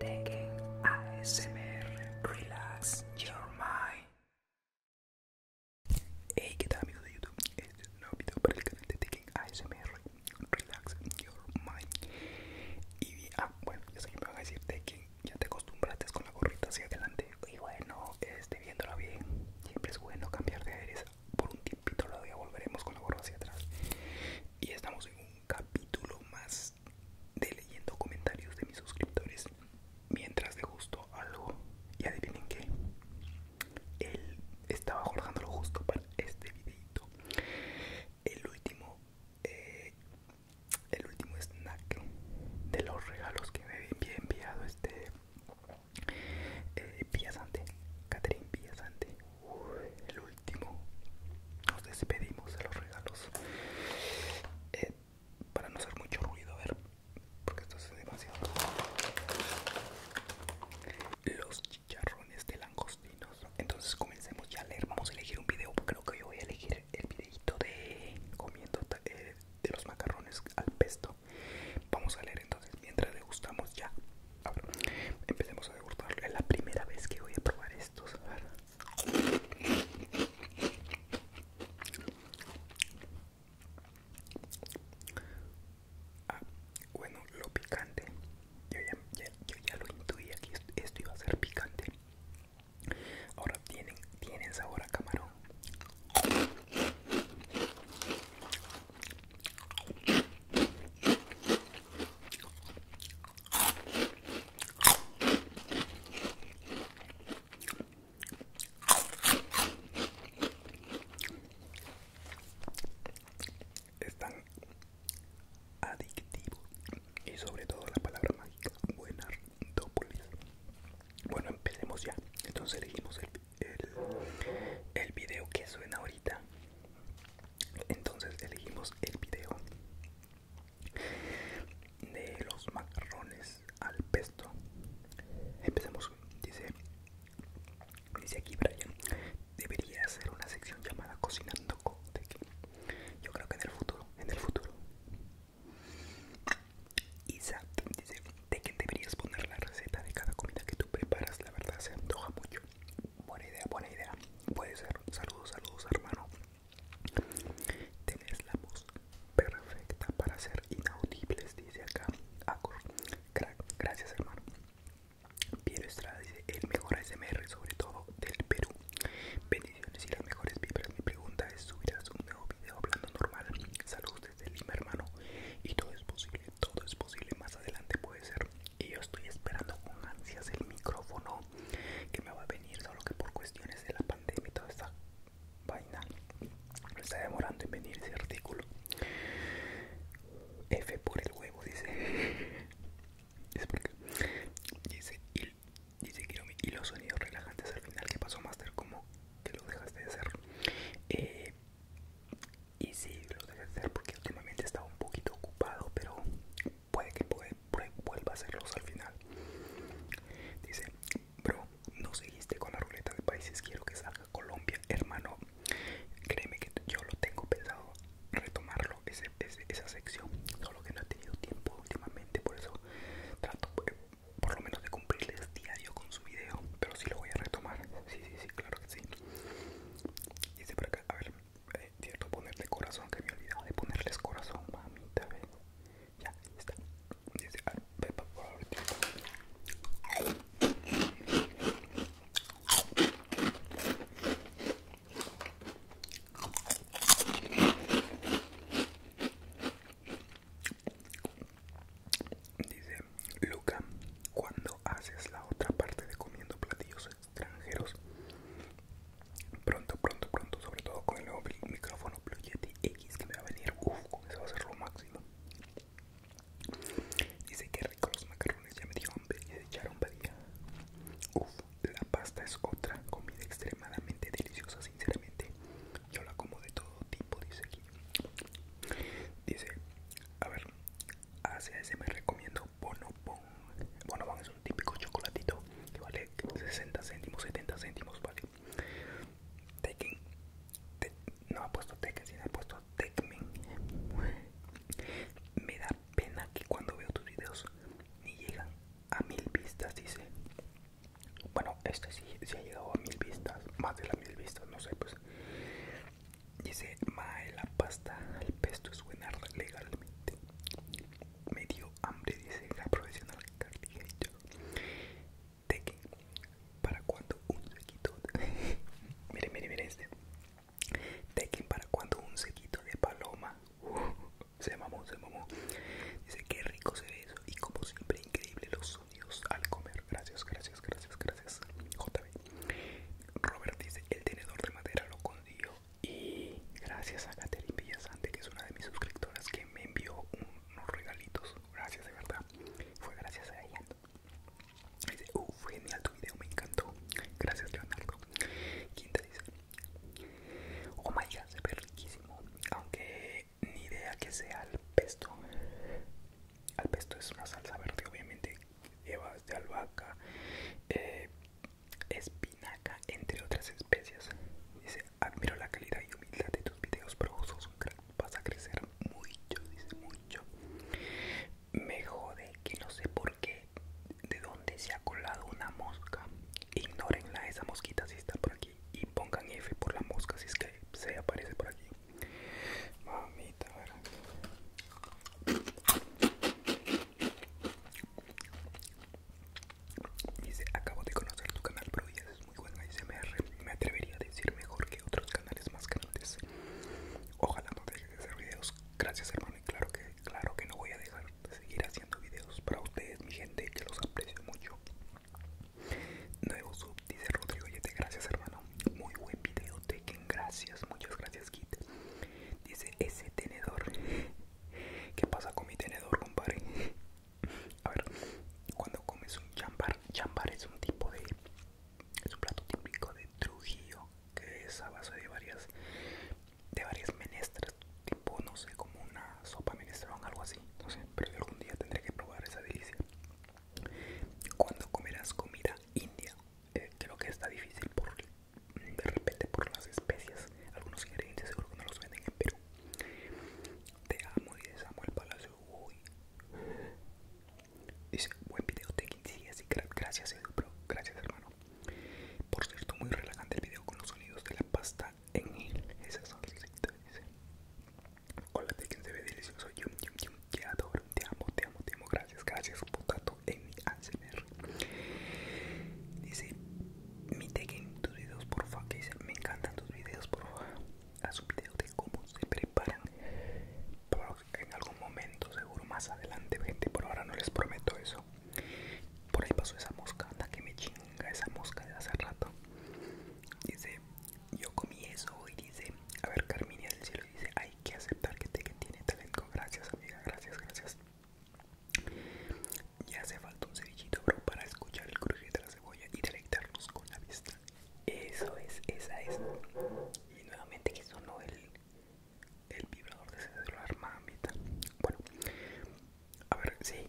Tekken ASMR Relax Your Mind. Hey, ¿qué tal amigos de YouTube? Este es un nuevo video para el canal de Tekken ASMR Relax Your Mind. Y ah, bueno, ya sé que me van a decir Tekken, ya te acostumbraste con la gorrita hacia adelante. Y bueno, este, viéndola bien, siempre es bueno cambiar de aires. Por un tiempito lo día volveremos con la gorra hacia atrás. Y estamos en capítulo más de leyendo comentarios de mis suscriptores mientras de gusto algo y adivinen qué él estaba lo justo para este videito el último eh, el último snack de los regalos que me había enviado este eh, Catherine el último nos despedimos de los regalos eh, para no hacer mucho ruido a ver porque esto es demasiado los chicharrones de langostinos entonces comencemos ya a leer vamos a elegir un video creo que yo voy a elegir el videito de comiendo eh, de los macarrones al pesto vamos a leer entonces mientras degustamos ya Ahora, empecemos a degustarlo. Es la primera vez que voy a probar estos. Ah, bueno, lo picante. Yo ya, yo ya lo intuía que esto iba a ser picante. Ahora tienen, tienen sabor a camarón están adictivos y sobre todo la palabra mágica buena Bueno, empecemos ya. Entonces elegimos el, el, el video que suena ahorita. Entonces elegimos el video de los macarrones al pesto. empezamos, dice, dice aquí Brian, debería hacer una sección llamada Cocinando con Yo creo que en el futuro, en el futuro. Exacto dice, que deberías poner la receta de cada comida que tú preparas, la verdad se antoja mucho. Buena idea, buena idea. Puede ser. Saludos, saludos, hermano. Tienes la voz perfecta para ser inaudibles, dice acá. Gracias, hermano. Piero Estrada dice el mejor ASMR, sobre todo del Perú. Bendiciones y las mejores vibras. Mi pregunta es: ¿subirás un nuevo video hablando normal? Saludos desde Lima, hermano. Y todo es posible, todo es posible. Más adelante puede ser y yo estoy esperando con ansias el micrófono que me va a venir solo que por cuestiones de la pandemia y toda esta vaina me está demorando en venir ese artículo F por el huevo dice dice dice y los sonidos relajantes al final que pasó Master como que lo dejaste de hacer eh, y sí, lo deje hacer porque últimamente estaba un poquito ocupado pero puede que vuelva a hacerlos al final dice bro no seguiste con la ruleta de países quiero que salga Colombia hermano créeme que yo lo tengo pensado retomarlo esa sección solo que no he tenido tiempo últimamente por eso trato eh, por lo menos de cumplirles diario con su video pero sí lo voy a retomar sí sí sí claro que sí Dice por acá, a ver, eh, cierto, ponerle corazón, que me olvidaba de ponerles corazón, mamita, ven Ya, está. Dice, a ver, por Dice, Luca, cuando haces la otra parte de comiendo platillos extranjeros, pronto, pronto, pronto, sobre todo con el nuevo micrófono Blue Yeti X que me va a venir, uff, con eso va a ser lo máximo. Dice que rico los macarrones, ya me dijeron hambre de echaron Uff, la pasta es otra comida extremadamente deliciosa, sinceramente. Yo la como de todo tipo, dice aquí. Dice, a ver, hacia ese me recomiendo Bonobon. Bonobon es un típico chocolatito que vale 60 céntimos, 70 céntimos, vale. Tekken, no ha puesto Tekken, sino he puesto Tekmen. Me da pena que cuando veo tus videos ni llegan a mil vistas, dice. Bueno, este sí, sí ha llegado a mil vistas, más de las mil vistas, no sé, pues. Dice, mae, la pasta al pesto es buena legalmente. Me dio hambre, dice la profesional De que para cuando un sequito. De... mire, mire, mire este. para cuando un sequito de paloma. se mamó, se mamó. Dice, qué rico se ve eso. Y como siempre, increíble los sonidos al comer. Gracias, gracias, gracias, gracias. JB. Robert dice, el tenedor de madera lo consiguió y gracias a Caterin Villasante, que es una de mis suscriptoras, que me envió unos regalitos. Gracias, de verdad. Fue gracias a ella. Dice, uh, genial tu video, me encantó. Gracias, Leonardo. Quinta dice, oh my god, se ve riquísimo. Aunque ni idea que sea al pesto. Al pesto es una salsa verde, obviamente, Llevas de albahaca, eh, espinaca, entre otras especies. Dice, admiro la calidad y humildad de tus videos, pero vos vas a crecer mucho, dice mucho. Me jode que no sé por qué, de dónde se ha colado una mosca. Ignórenla, esa mosquita si está por aquí y pongan F por la mosca si es que se aparece por aquí. Mamita, Dice, acabo de conocer tu canal, pero ya es muy buen ASMR. Me atrevería a decir mejor que otros canales más grandes. Ojalá no dejes de hacer videos. Gracias, hermano. Y claro que, claro que no voy a dejar de seguir haciendo videos para ustedes, mi gente, que los aprecio mucho. Nuevo sub, dice Rodrigo te Gracias, hermano. Muy buen video. Te gracias, muchas gracias, Kit. Dice ese tenedor. ¿Qué pasa con mi tenedor, compadre? A ver, cuando comes un chambar, chambar es un tipo de. Es un plato típico de Trujillo que es a base de varias. de varias menestras, tipo, no sé, como una sopa o algo así. No sé, pero yo algún día tendré que probar esa delicia. Cuando comerás comida india eh, creo que está difícil por mm, de repente por las especias algunos ingredientes seguro que no los venden en Perú te amo y desamo el palacio Uy. dice buen video te así gracias bro. gracias hermano por cierto muy relajante el video con los sonidos de la pasta en él son las dice hola Tekin. se ve delicioso yum yum te adoro, te amo, te amo, te amo. Gracias, gracias por tanto en mi Dice, me Tekken, tus videos porfa. Que dice, me encantan tus videos porfa. Haz un video de cómo se preparan. en algún momento, seguro más adelante, gente. Por ahora no les prometo eso. Por ahí pasó esa mosca, anda que me chinga esa mosca de hace rato. Dice, yo comí eso y dice, a ver Carminia del cielo dice, hay que aceptar que tiene talento, gracias amiga, gracias, gracias. Ya hace falta un cerillito bro para escuchar el crujir de la cebolla y deleitarnos con la vista. Eso es, esa es. Y nuevamente que sonó el, vibrador de ese celular, mamita. Bueno, a ver, sí,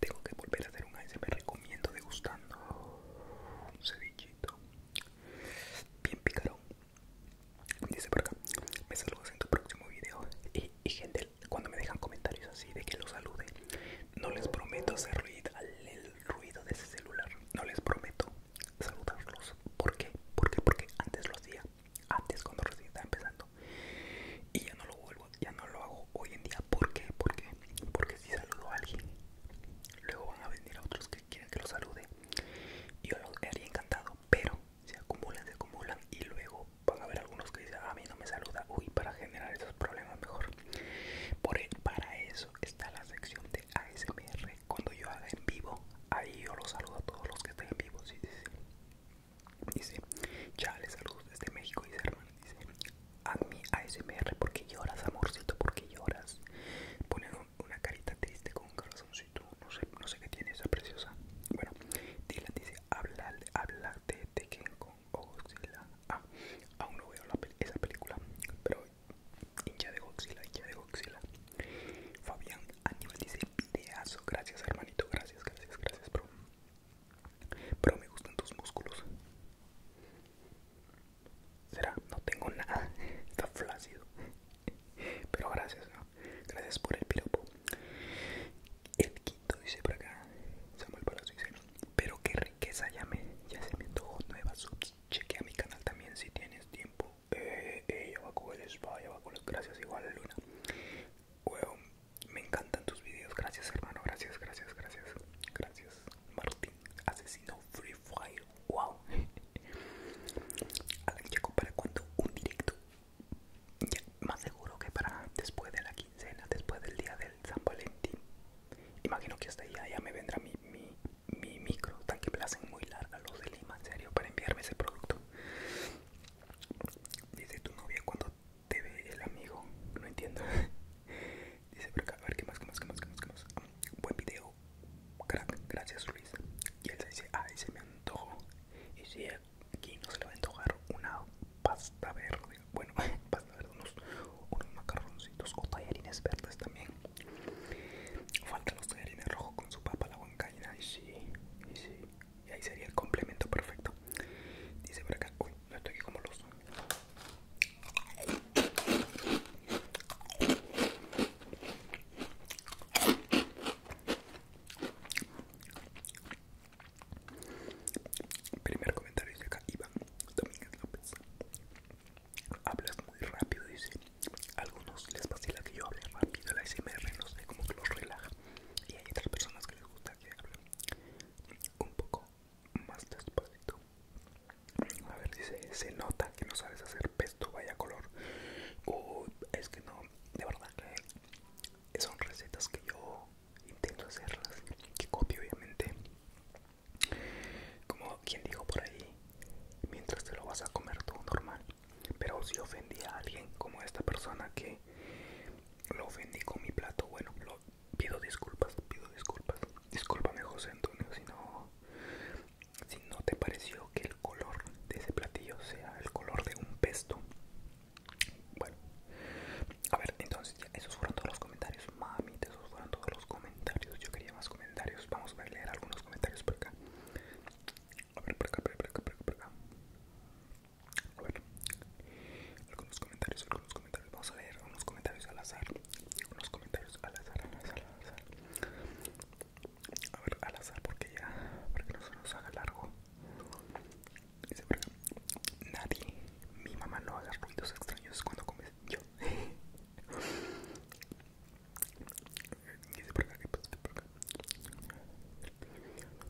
tengo que volver a hacer un ASMR recomiendo degustando un Cerillito. Bien picarón. Dice por acá, me saludas en tu próximo video. Y, gente, cuando me dejan comentarios así de que los salude, no les prometo hacer ruido, Al ruido de ese celular. No les prometo saludarlos. ¿Por qué? ¿Por Porque antes lo hacía. Antes cuando recién estaba empezando. Y ya no lo vuelvo, ya no lo hago hoy en día. ¿Por qué? ¿Por Porque si saludo a alguien, luego van a venir a otros quieren que los salude yo lo haría encantado pero se acumulan se acumulan y luego van a haber algunos que dicen ah, a mí no me saluda uy para generar esos problemas mejor por e, para eso está la sección de ASMR cuando yo haga en vivo ahí yo los saludo a todos los que estén en vivo sí, dice ya les saludos desde México dice hermano dice a mi ASMR porque lloras amorcito porque lloras ponen una carita triste con un corazoncito. No sé, no sé qué tiene esa preciosa. Bueno, Dylan dice: Habla de que con oxila Ah, aún no veo esa película, pero hincha de Oxila hincha de Oxila Fabián Aníbal dice: ideas. gracias hermanito, gracias, gracias, gracias, bro. Pero me gustan tus músculos. Será, no tengo nada. Está flácido. Pero gracias, ¿no? Gracias por el piropo. El quinto dice por acá. Samuel Palazzo dice, pero qué riqueza ya me Ya se me antojó Nueva subs. Chequea mi canal también si tienes tiempo. Eh, eh, con el spa, con las gracias igual Luna. me encantan tus videos. Gracias hermano, gracias, gracias, gracias. Gracias. Martín, asesino Free Wow. A la que para cuando un directo. más seguro que para después de la quincena, después del día del San Valentín. Imagino que hasta allá ya me vendrá mi, micro. Tan que me hacen muy larga los de Lima, en serio, para enviarme ese producto. Dice tu novia cuando te ve el amigo. No entiendo. Dice por acá, a ver qué más, qué más, qué más, qué más, qué más. buen video, crack, gracias Luis. Y él se dice, ay, se me antojo Y si aquí no se le va a antojar una pasta verde, bueno, pasta verde, unos, unos macarroncitos o tallarines verdes también. Faltan los tallarines rojos con su papa, la huancaina, y sí, y Y ahí sería el complemento perfecto. Dice por acá, uy, no estoy aquí como los Primer comentario de acá, Iván Domínguez López. Hablas muy rápido, dice. A algunos les vacila que yo hable rápido, la SMR no sé cómo que los relaja. Y hay otras personas que les gusta que hablen un poco más despacito. A ver si se, nota que no sabes hacer pesto, vaya color. es que no, de verdad que son recetas que yo intento hacerlas, que copio obviamente. Como quien dijo por ahí, mientras te lo vas a comer todo normal. Pero si ofendí a alguien como esta persona que lo ofendí con mi plato, bueno, pido disculpas, pido disculpas. Discúlpame José Antonio si no si no te pareció que el color de ese platillo sea el color de un pesto. Bueno, a ver, entonces esos fueron todos los comentarios. Mami, esos fueron todos los comentarios. Yo quería más comentarios. Vamos a leer algunos comentarios por acá. A ver, por acá, por acá, por acá, por acá. A ver, algunos comentarios, algunos comentarios. Vamos a leer unos comentarios al azar. Unos comentarios al azar, A ver, al azar porque ya, para que no se nos haga largo. Dice por nadie, mi mamá no haga ruidos extraños cuando comes. Yo. Dice por acá, por acá.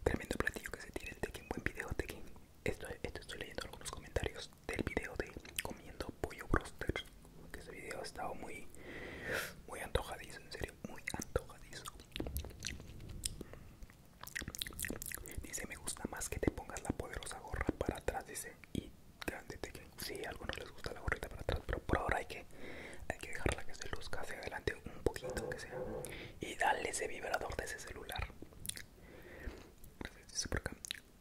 Tremendo platillo que se tiene de tequín, buen video tequín. Esto, esto estoy leyendo algunos comentarios del video de comiendo pollo broster que ese video ha estado muy muy antojadizo en serio muy antojadizo dice me gusta más que te pongas la poderosa gorra para atrás dice y grande que si sí, a algunos les gusta la gorrita para atrás pero por ahora hay que hay que dejarla que se luzca hacia adelante un poquito que sea y darle ese vibrador de ese celular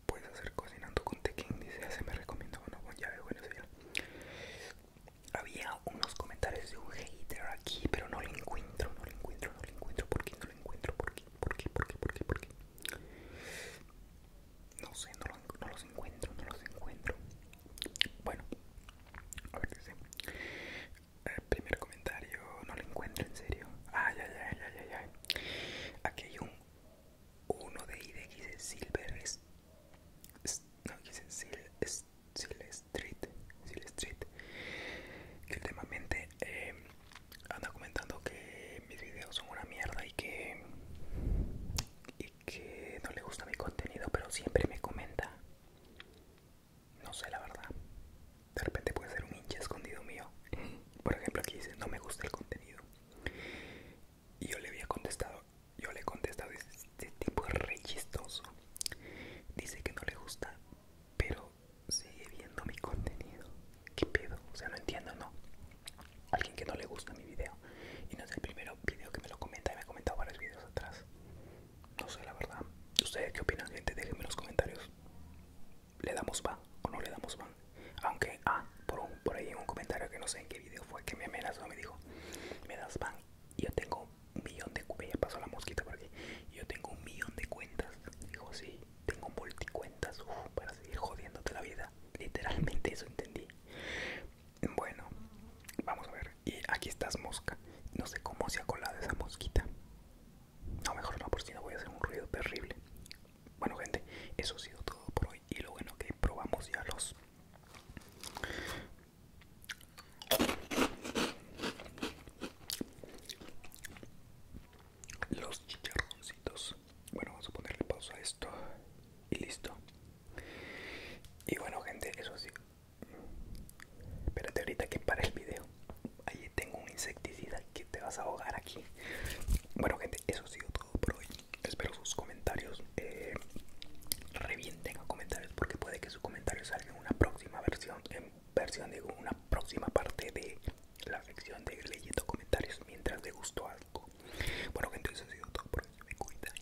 Puedes hacer cocinando con tequín? dice, se me recomienda uno ya llave, bueno, Había unos comentarios de un hater aquí, pero no lo encuentro, no lo encuentro, no lo encuentro, ¿por qué no lo encuentro? ¿Por qué? ¿Por qué? ¿Por qué? No sé, no, los encuentro, no los encuentro. Bueno, a ver, El eh, primer comentario, no lo encuentro en serio. ay, ah, ay, ay, ay, ay. Aquí hay un uno de dice Silver es, no, Sil Street, que últimamente em, anda comentando que mis videos son una mierda y que y que no le gusta mi contenido pero siempre me comenta no sé la verdad de repente puede ser un hincha escondido mío por ejemplo aquí dice no me gusta el contenido y yo le había contestado yo le he contestado este tipo es rechistoso dice que no le gusta pero sigue viendo mi contenido qué pedo o sea no entiendo no alguien que no le gusta mi video y no es el primero video que me lo comenta y me ha comentado varios videos atrás no sé la verdad ustedes qué opinan gente déjenme en los comentarios le damos ban o no le damos ban. Aunque, ah, por, por ahí en un comentario que no sé en qué video fue que me amenazó, me dijo, me das ban. Y yo tengo un millón de cuentas. pasó la mosquita por aquí. Yo tengo un millón de cuentas. Dijo, sí, tengo multicuentas uf, para seguir jodiéndote la vida. Literalmente eso entendí. Bueno, vamos a ver. Y aquí estás mosca. No sé cómo se ha colado esa mosquita. No, mejor no, por si no voy a hacer un ruido terrible. Bueno gente, eso ha sido todo por hoy y lo bueno que probamos ya los los chicharroncitos. Bueno, vamos a ponerle pausa a esto y listo. Y bueno gente, eso sí. Espérate ahorita que para el video. Ahí tengo un insecticida que te vas a ahogar aquí. Bueno, gente, eso ha sido todo por hoy. Espero sus comentarios. Eh, revienten a comentarios porque puede que sus comentarios salgan en una próxima versión, en versión de una próxima parte de la sección de leyendo comentarios mientras le gustó algo. Bueno, gente, eso ha sido todo por hoy. Me cuidan.